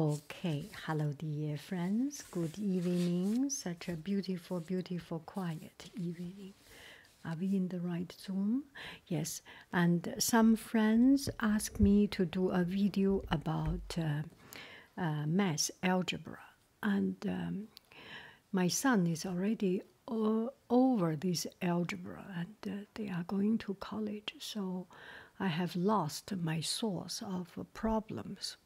Okay, hello, dear friends. Good evening. Such a beautiful, beautiful, quiet evening. Are we in the right Zoom? Yes. And some friends asked me to do a video about uh, uh, math algebra. And um, my son is already over this algebra, and uh, they are going to college. So I have lost my source of problems.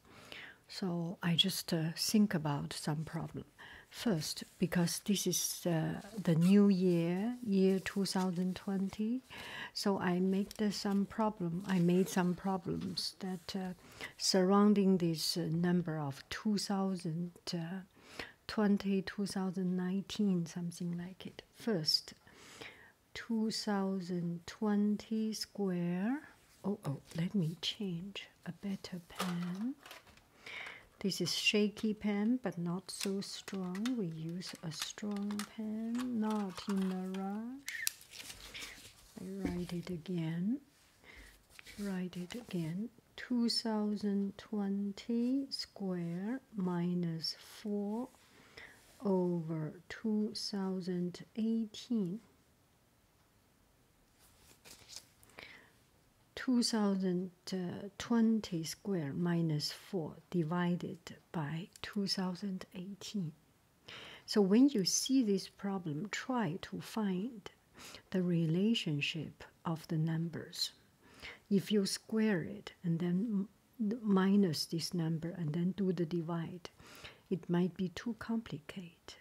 So I just uh, think about some problem first because this is uh, the new year, year 2020. So I make uh, some problem. I made some problems that surrounding this number of 2020, 2019, something like it. First, 2020 square. Oh, oh, let me change a better pen. This is shaky pen, but not so strong. We use a strong pen, not in a rush. I write it again. Write it again. 2020 square 4 over 2018. 2020 square minus 4 divided by 2018. So when you see this problem, try to find the relationship of the numbers. If you square it and then minus this number and then do the divide. It might be too complicated.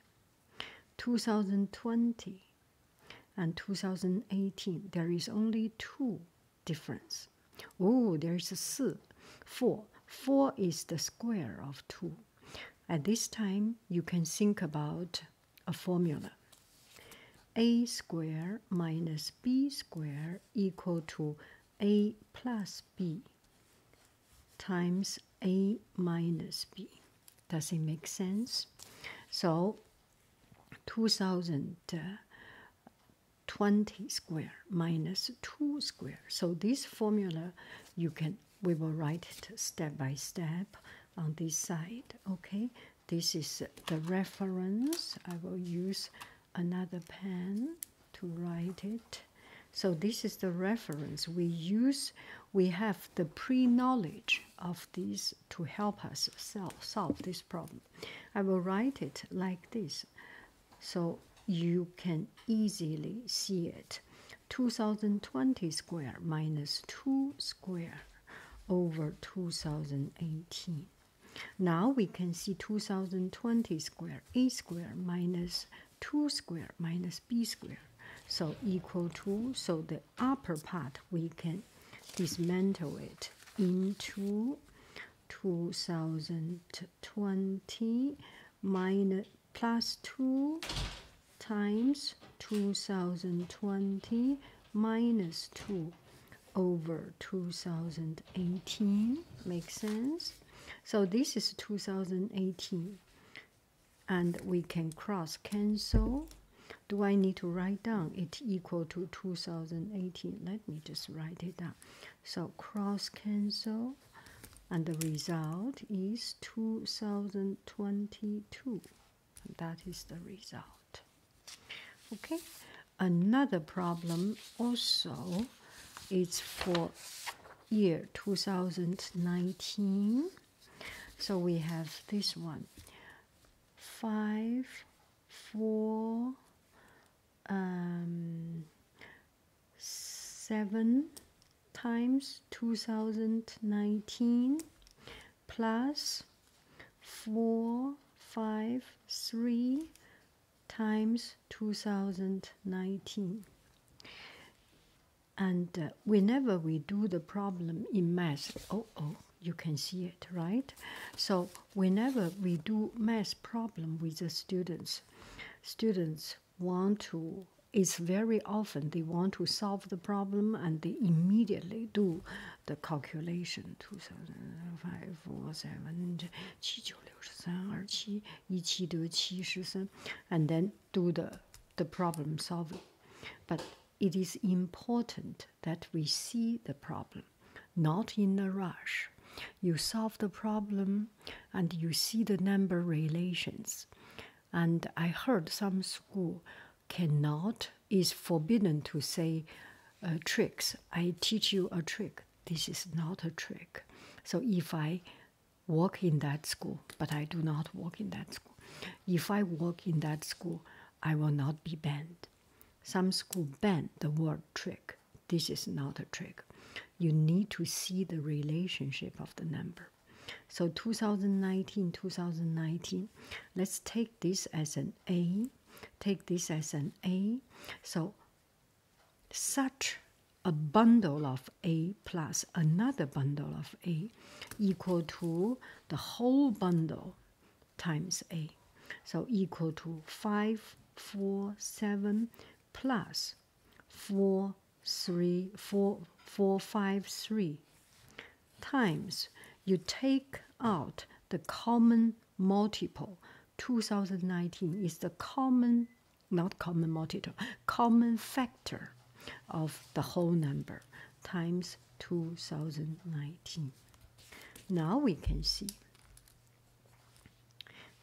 2020 and 2018, there is only two difference. Oh, there is a si, four. Four is the square of two. At this time, you can think about a formula. A square minus B square equal to a plus b times a minus b. Does it make sense? So 2020 square minus 2 square. So this formula you can we will write it step by step on this side. Okay, this is the reference I will use another pen to write it. So this is the reference we use. We have the pre-knowledge of this to help us solve this problem. I will write it like this, so you can easily see it. 2020 square minus 2 square over 2018. Now we can see 2020 square a square minus 2 square minus b square. So equal to, so the upper part we can dismantle it into 2020 minus plus 2 times 2020 minus 2 over 2018 makes sense so this is 2018 and we can cross cancel do i need to write down it equal to 2018 let me just write it down so cross cancel and the result is 2022 that is the result okay Another problem also is for year 2019. So we have this one. Five, four, um, seven times 2019 plus four, five, three times 2019. And uh, whenever we do the problem in math, oh, oh, you can see it, right? So whenever we do math problem with the students, students want to, it's very often they want to solve the problem and they immediately do the calculation 2005 7 and then do the, the problem solving. But it is important that we see the problem, not in a rush. You solve the problem and you see the number relations. And I heard some school cannot, is forbidden to say tricks. I teach you a trick. This is not a trick. So if I work in that school, but I do not work in that school, if I work in that school, I will not be banned. Some school banned the word trick. This is not a trick. You need to see the relationship of the number. So 2019, 2019, let's take this as an A Take this as an A. So such a bundle of A plus another bundle of A equal to the whole bundle times A. So equal to 5, 4, 7 plus 4, 3, 4 5, 3 times you take out the common multiple 2019 is the common, not common multiple, common factor of the whole number times 2019. Now we can see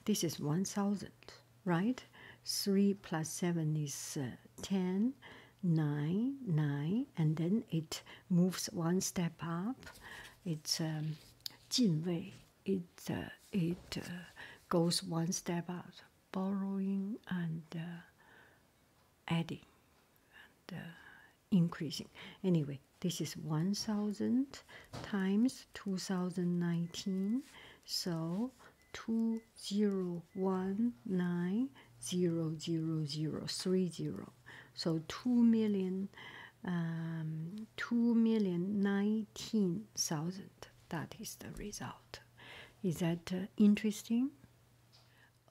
this is 1000, right? 3 plus 7 is uh, 10, 9, 9, and then it moves one step up it's um, uh, It it uh, goes one step out, borrowing and uh, adding and increasing. Anyway, this is one thousand times two thousand nineteen, so two zero one nine zero zero zero three zero so 2 million um, 2 million 19,000 that is the result is that uh, interesting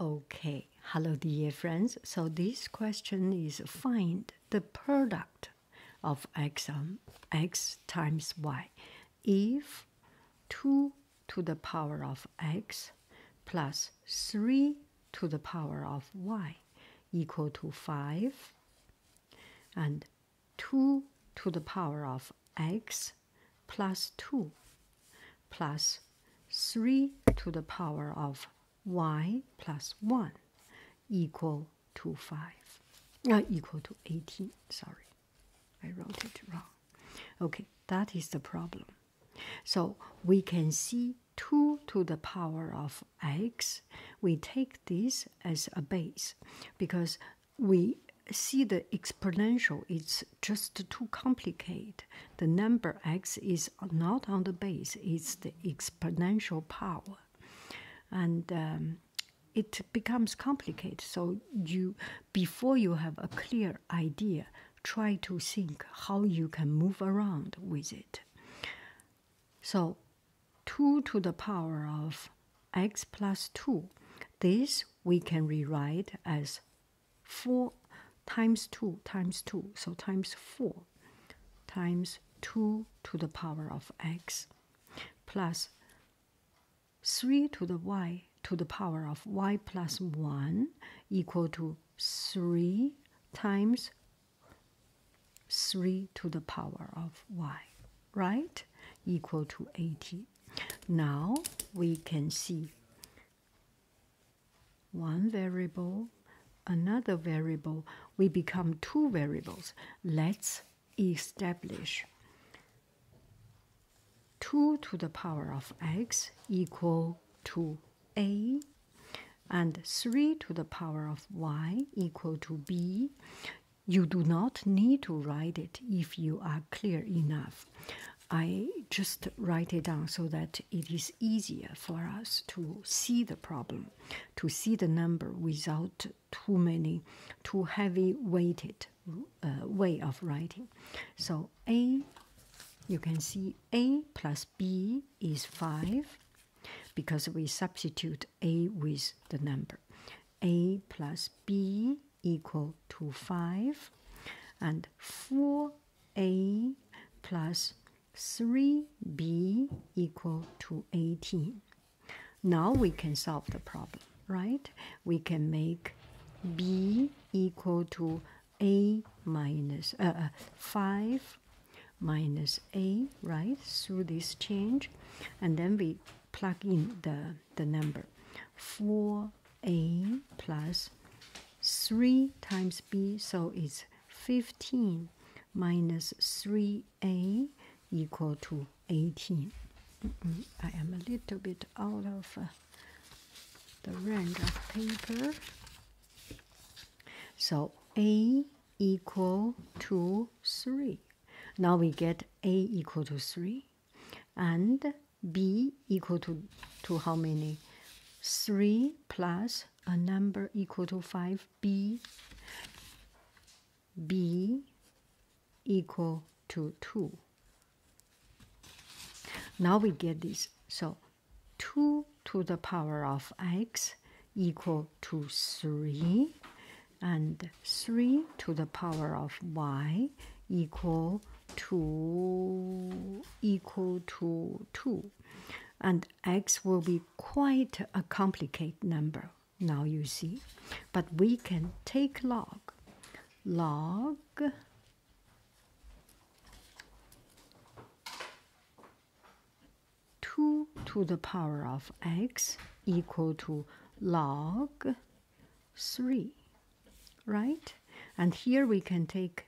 okay hello dear friends so this question is find the product of x on um, x times y if 2 to the power of x plus 3 to the power of y equal to 5 and 2 to the power of x plus 2 plus 3 to the power of y plus 1 equal to 5 Not uh, equal to 18 sorry i wrote it wrong okay that is the problem so we can see 2 to the power of x. We take this as a base because we see the exponential it's just too complicated the number x is not on the base it's the exponential power and um, it becomes complicated so you before you have a clear idea try to think how you can move around with it. So 2 to the power of x plus 2, this we can rewrite as 4 times 2 times 2, so times 4 times 2 to the power of x plus 3 to the y to the power of y plus 1 equal to 3 times 3 to the power of y, right? Equal to 80. Now we can see one variable, another variable. We become two variables. Let's establish 2 to the power of x equal to a and 3 to the power of y equal to b. You do not need to write it if you are clear enough. I just write it down so that it is easier for us to see the problem, to see the number without too many, too heavy weighted uh, way of writing. So a you can see a plus b is 5 because we substitute a with the number. a plus b equal to 5 and 4a plus 3b equal to 18. Now we can solve the problem, right? We can make b equal to a minus uh, uh, 5 minus a, right, through this change. And then we plug in the, the number 4a plus 3 times b, so it's 15 minus 3a equal to 18. I am a little bit out of uh, the range of paper. So a equal to 3. Now we get a equal to 3 and b equal to, to how many? 3 plus a number equal to 5b. b equal to 2. Now we get this. So 2 to the power of x equal to 3 and 3 to the power of y equal to equal to 2 and x will be quite a complicated number now you see but we can take log log 2 to the power of x equal to log 3, right? And here we can take,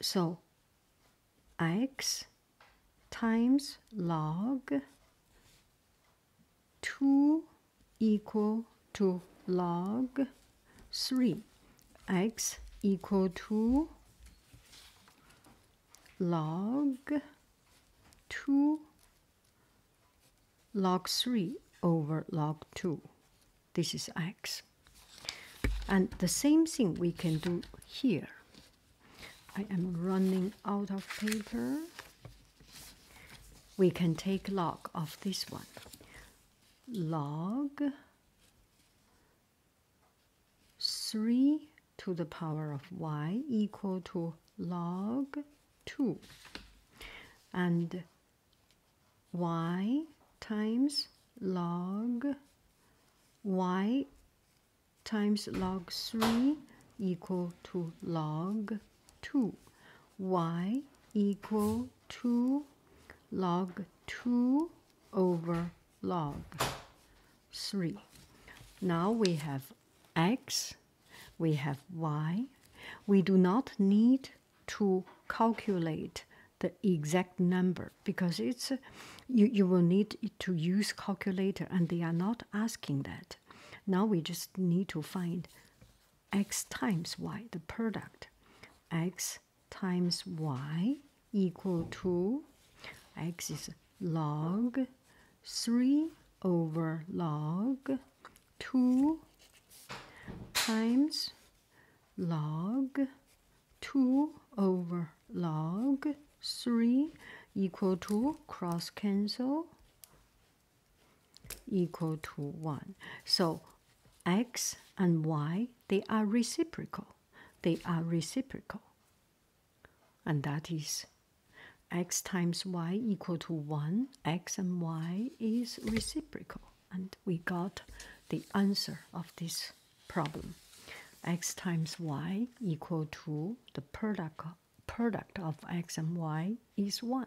so x times log 2 equal to log 3 x equal to log 2 log 3 over log 2. This is x. And the same thing we can do here. I am running out of paper. We can take log of this one. Log 3 to the power of y equal to log 2 and y times log y times log 3 equal to log 2 y equal to log 2 over log 3. Now we have x, we have y. We do not need to calculate the exact number because it's you, you will need to use calculator and they are not asking that. Now we just need to find x times y, the product. x times y equal to x is log 3 over log 2 times log 2 over log 3 equal to cross cancel equal to 1. So X and Y, they are reciprocal. They are reciprocal. And that is x times y equal to 1. X and y is reciprocal. And we got the answer of this problem. X times y equal to the product, product of x and y is 1.